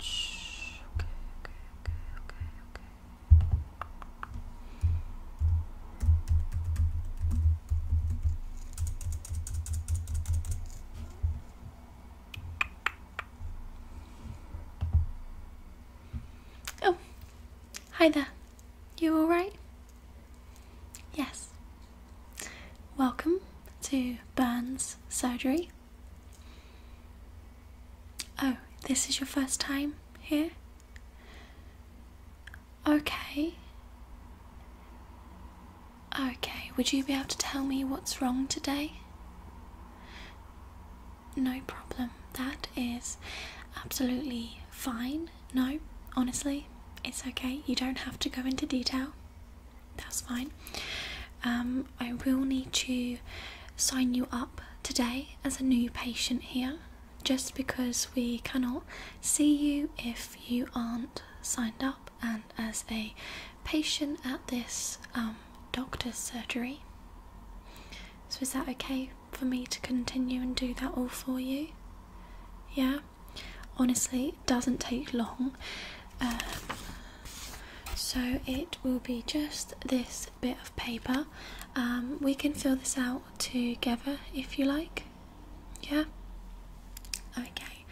Shh. Okay, okay, okay, okay, okay. Okay. Oh, hi there. You alright? Yes. Welcome to Burns Surgery. Oh, this is your first time here? Okay. Okay, would you be able to tell me what's wrong today? no problem. That is absolutely fine. No, honestly, it's okay. You don't have to go into detail. That's fine. Um, I will need to sign you up today as a new patient here just because we cannot see you if you aren't signed up and as a patient at this um, doctor's surgery. So, is that okay for me to continue and do that all for you? Yeah? Honestly, it doesn't take long. Uh, so, it will be just this bit of paper. Um, we can fill this out together if you like. Yeah? Okay.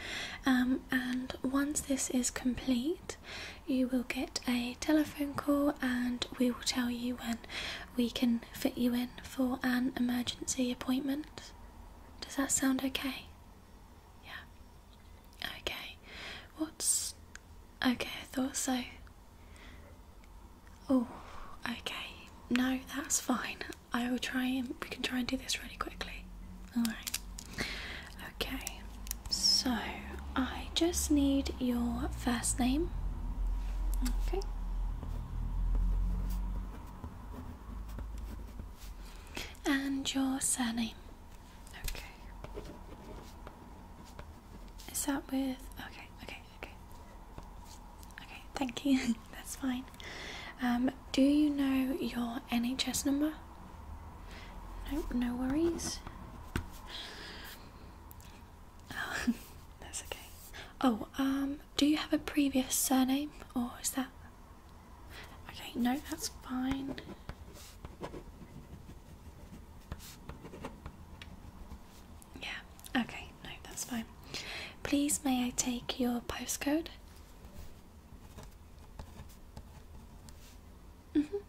Um, and once this is complete, you will get a telephone call and we will tell you when we can fit you in for an emergency appointment. Does that sound okay? Yeah. Okay. What's. Okay, I thought so. Oh, okay. No, that's fine. I will try and. We can try and do this really quickly. Alright. Okay, so I just need your first name. Okay. And your surname. Okay. Is that with. Okay, okay, okay. Okay, thank you. That's fine. Um, do you know your NHS number? Nope, no worries. that's okay. Oh, um, do you have a previous surname or is that. Okay, no, that's fine. Yeah, okay, no, that's fine. Please, may I take your postcode? Mm -hmm.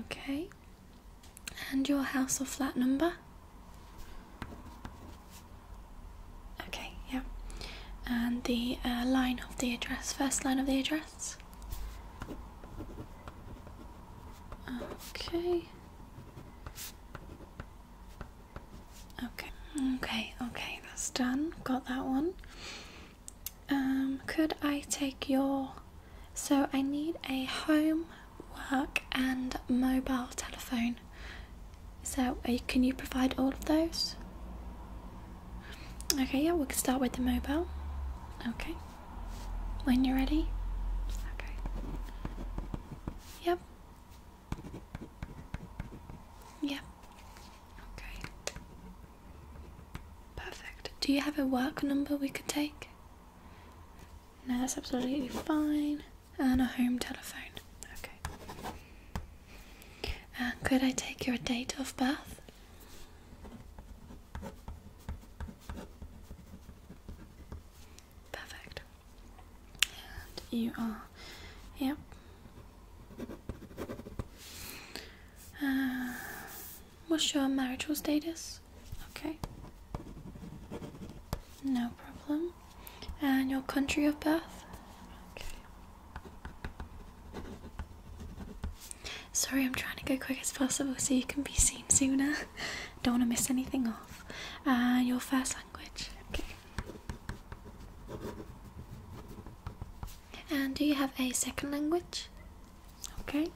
Okay. And your house or flat number? Okay, yeah. And the uh, line of the address, first line of the address? Okay. Okay, okay, okay, that's done. Got that one. Um, could I take your. So I need a home, work, and mobile telephone. So can you provide all of those? Okay, yeah, we can start with the mobile. Okay. When you're ready. Okay. Yep. Yep. Okay. Perfect. Do you have a work number we could take? No, that's absolutely fine. And a home telephone. Okay. could I take your date of birth? Perfect. you are, yep. Uh, what's your marital status? Okay. No problem. And your country of birth? Okay. Sorry, I'm trying to go quick as possible so you can be seen sooner. Don't want to miss anything off. And uh, your first language? Okay. And do you have a second language? Okay.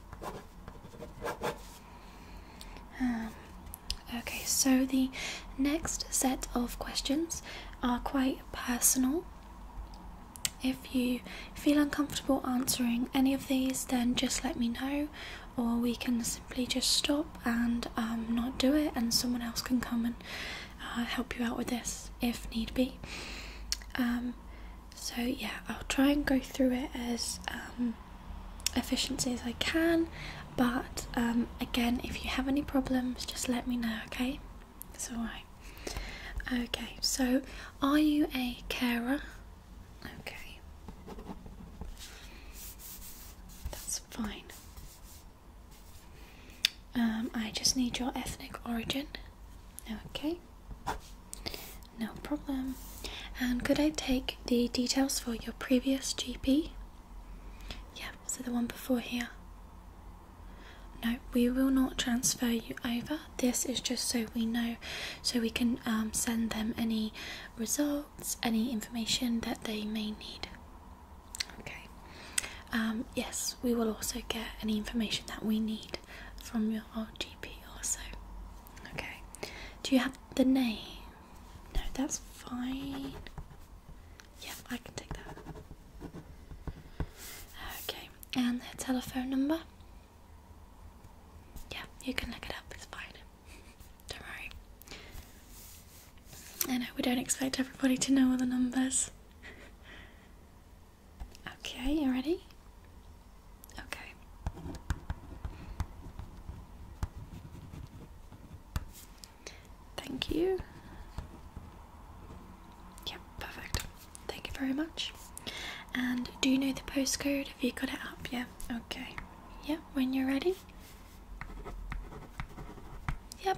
Um, okay, so the next set of questions are quite personal. If you feel uncomfortable answering any of these, then just let me know, or we can simply just stop and um, not do it, and someone else can come and uh, help you out with this if need be. Um, so, yeah, I'll try and go through it as um, efficiently as I can, but um, again, if you have any problems, just let me know, okay? It's alright. Okay, so are you a carer? Okay. That's fine. Um, I just need your ethnic origin. Okay, no problem. And could I take the details for your previous GP? Yeah, so the one before here. No, we will not transfer you over. This is just so we know, so we can um, send them any results, any information that they may need. Okay. Um, yes, we will also get any information that we need from your GP also. Okay. Do you have the name? No, that's fine. Yeah, I can take that. Okay, and the telephone number? Yeah, you can look it up, it's fine. Don't worry. I know we don't expect everybody to know all the numbers. okay, you ready? Okay. Thank you. Yep, perfect. Thank you very much. And do you know the postcode? Have you got it up? Yeah, okay. Yep. when you're ready, Yep.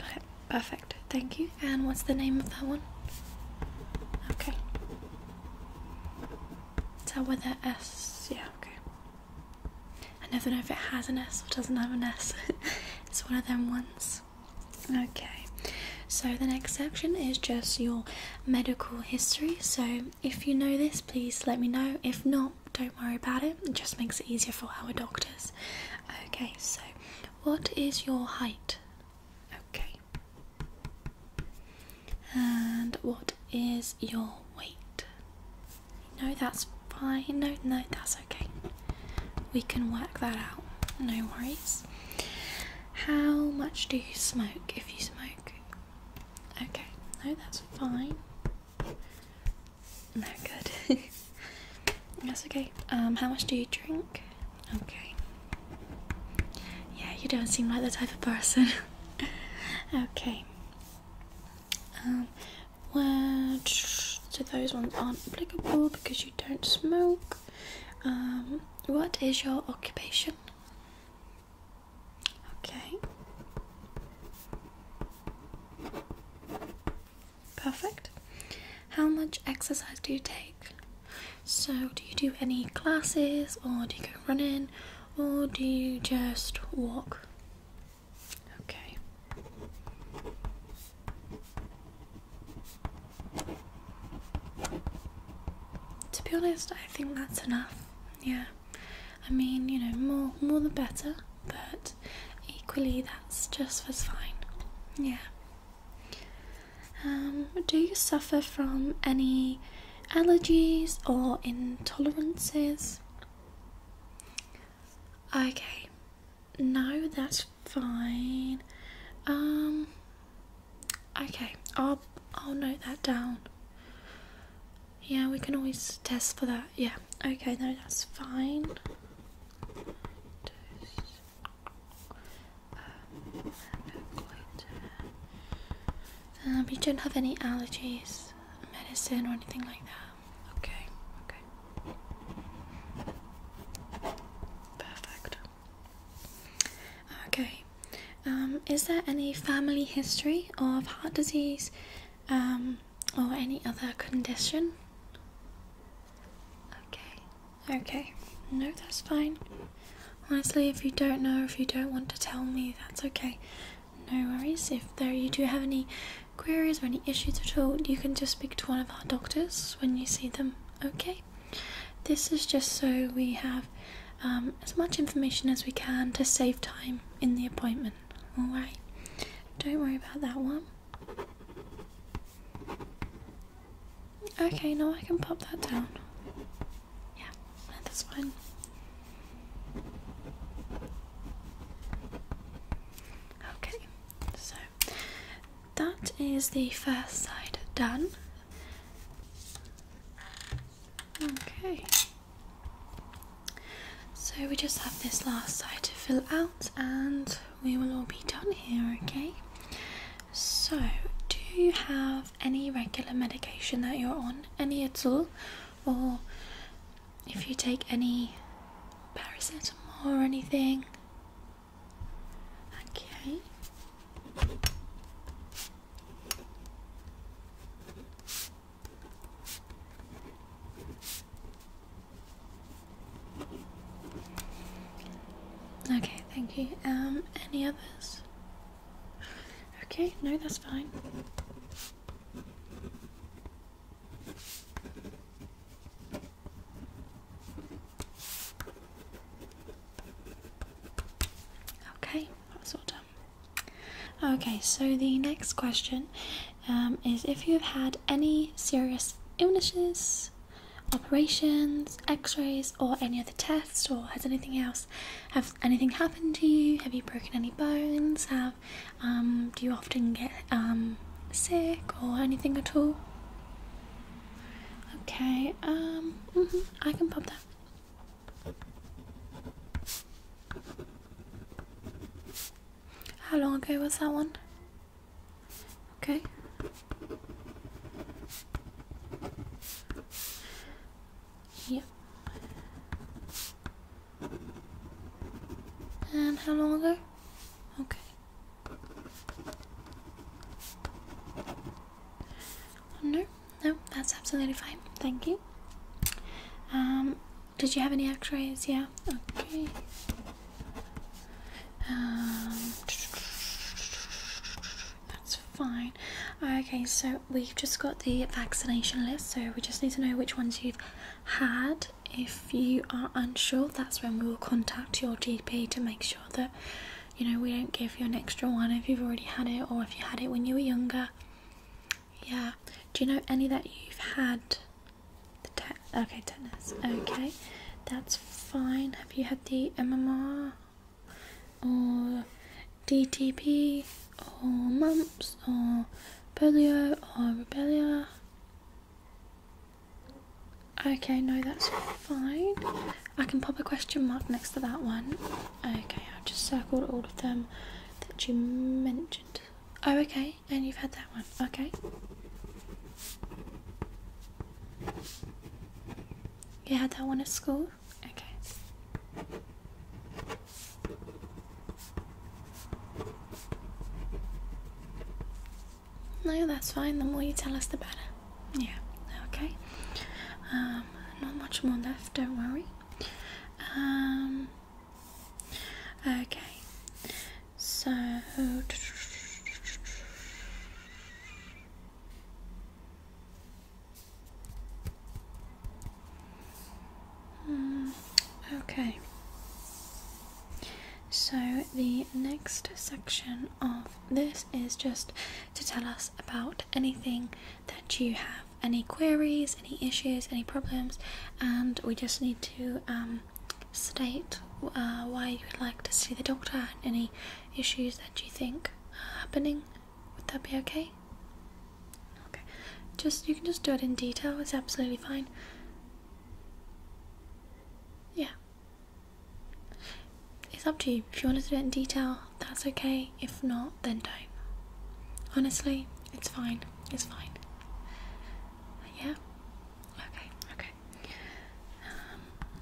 Okay, perfect. Thank you. And what's the name of that one? Okay. It's that with an S? Yeah, okay. I never know if it has an S or doesn't have an S. it's one of them ones. Okay. So the next section is just your medical history. So if you know this, please let me know. If not, don't worry about it. It just makes it easier for our doctors. Okay, so what is your height? Okay. And what is your weight? No, that's fine. No, no, that's okay. We can work that out. No worries. How much do you smoke if you smoke? Okay, no, that's fine. No, good. that's okay. Um, how much do you drink? Okay. Yeah, you don't seem like the type of person. okay. Um, well, so those ones aren't applicable because you don't smoke. Um, what is your occupation? Okay. Perfect. How much exercise do you take? So, do you do any classes, or do you go running, or do you just walk? Okay. To be honest, I think that's enough. Yeah. I mean, you know, more more the better, but equally that's just as fine. Yeah. Um, do you suffer from any allergies or intolerances? Okay. No, that's fine. Um okay, i I'll note that down. Yeah, we can always test for that. Yeah, okay, no, that's fine. Um, uh, you don't have any allergies, medicine, or anything like that. Okay, okay. Perfect. Okay. Um, is there any family history of heart disease um, or any other condition? Okay. Okay. No, that's fine. Honestly, if you don't know, if you don't want to tell me, that's okay. No worries. If there you do have any queries or any issues at all, you can just speak to one of our doctors when you see them. Okay. This is just so we have um, as much information as we can to save time in the appointment. Alright? Don't worry about that one. Okay, now I can pop that down. Yeah, that's fine. Okay, so that is the first side done. Okay. So we just have this last side to fill out and we will all be done here, okay? So, do you have any regular medication that you're on? Any at all? Or if you take any paracetamol or anything? Okay. Okay, thank you. Um, any others? Okay, no, that's fine. Okay, that's all done. Okay, so the next question um, is if you've had any serious illnesses, operations, x rays, or any other tests, or has anything else, have anything happened to you? Have you broken any bones? Have um, Do you often get um, sick or anything at all? Okay, um, mm-hmm, I can pop that. How long ago was that one? Okay. Yep. And how long ago? Okay. Oh, no, no, that's absolutely fine. Thank you. Um, did you have any X-rays? Yeah. Okay. Um, that's fine. Okay, so we've just got the vaccination list, so we just need to know which ones you've had. If you are unsure, that's when we will contact your GP to make sure that you know, we don't give you an extra one if you've already had it or if you had it when you were younger. Yeah. Do you know any that you've had? The te- okay, tetanus. Okay, that's fine. Have you had the MMR or DTP or mumps or polio or rubella? Okay, no, that's fine. I can pop a question mark next to that one. Okay, I've just circled all of them that you mentioned. Oh, okay, and you've had that one. Okay. You had that one at school? Okay. No, that's fine. The more you tell us, the better. Yeah, okay. Um, not much more left, don't worry. Um, okay, so. Hmm, okay, so the next section of this is just to tell us about anything that you have any queries, any issues, any problems, and we just need to um, state uh, why you would like to see the doctor and any issues that you think are happening. Would that be okay? Okay, just you can just do it in detail. It's absolutely fine. Yeah, it's up to you. If you want to do it in detail, that's okay. If not, then don't. Honestly, it's fine. It's fine. Yeah? Okay, okay.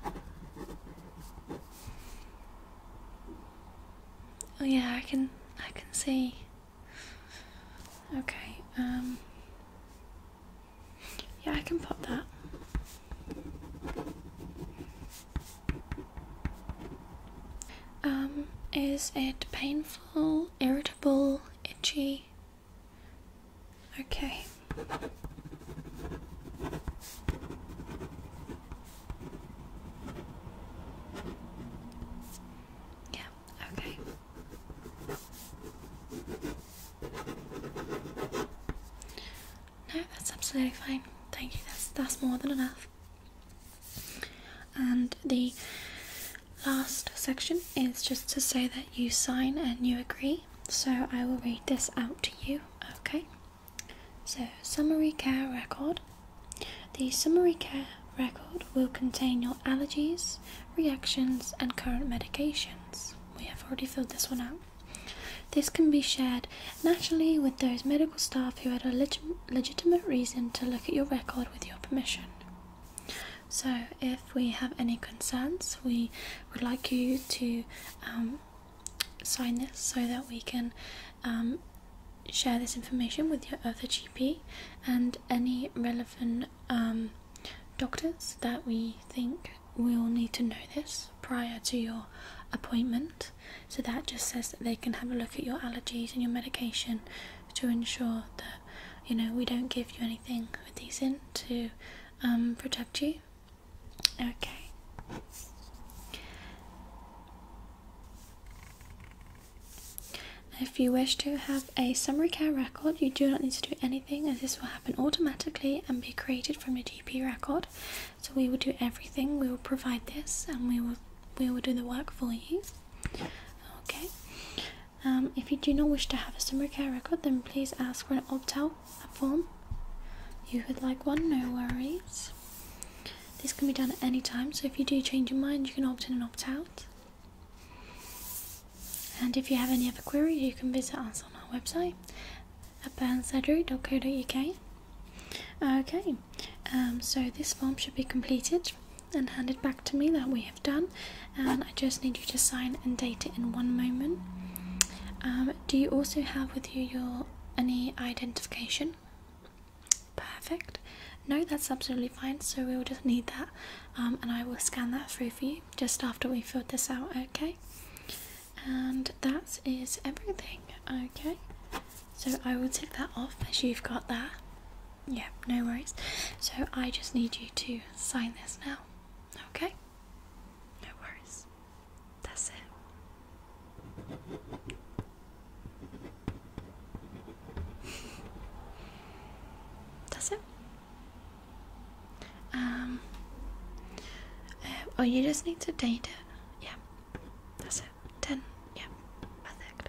Um, oh yeah, I can I can see. Okay, um yeah, I can pop that. Um, is it painful, irritable, itchy? Okay. Yeah, okay. No, that's absolutely fine. Thank you. That's that's more than enough. And the last section is just to say that you sign and you agree. So I will read this out to you, okay? So, summary care record. The summary care record will contain your allergies, reactions, and current medications we have already filled this one out. This can be shared naturally with those medical staff who had a legitimate reason to look at your record with your permission. So, if we have any concerns, we would like you to um, sign this so that we can um, share this information with your other GP and any relevant um, doctors that we think we will need to know this prior to your appointment. So that just says that they can have a look at your allergies and your medication to ensure that you know we don't give you anything with these in to um, protect you. Okay. If you wish to have a summary care record, you do not need to do anything anything as this will happen automatically and be created from your GP record. So we will do everything, we will provide this and we will we will do the work for you. Okay. Um, if you do not wish to have a summary care record then please ask for an opt-out form. You would like one, no worries. This can be done at any time, so if you do change your mind you can opt in and opt out. And if you have any other queries, you can visit us on our website at burnsurgery.co.uk. Okay, um, so this form should be completed and handed back to me that we have done, and I just need you to sign and date it in one moment. Um, do you also have with you your any identification? Perfect. No, that's absolutely fine. So we will just need that, um, and I will scan that through for you just after we filled this out, okay? And that is everything, okay? So I will take that off as you've got that. Yep, no worries. So I just need you to sign this now, okay? No worries. That's it. That's it. Um, oh, you just need to date it. Yeah, that's it. 10. Yeah, perfect.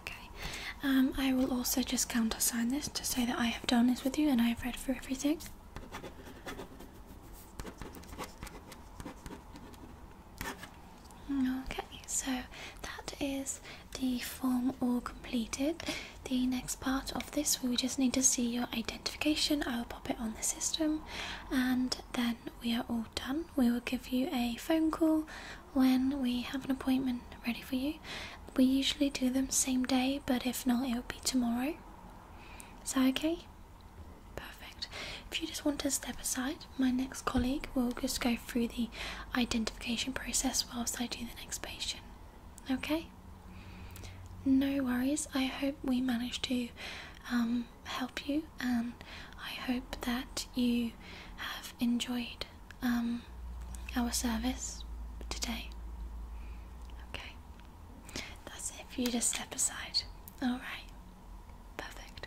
Okay. Um, I will also just countersign this to say that I have done this with you and I have read through everything. Okay, so that is the form all completed the next part of this we just need to see your identification i'll pop it on the system and then we are all done we will give you a phone call when we have an appointment ready for you we usually do them same day but if not it will be tomorrow is that okay perfect if you just want to step aside my next colleague will just go through the identification process whilst I do the next patient. Okay? No worries. I hope we managed to um, help you, and I hope that you have enjoyed um, our service today. Okay, that's it. you just step aside, all right, perfect.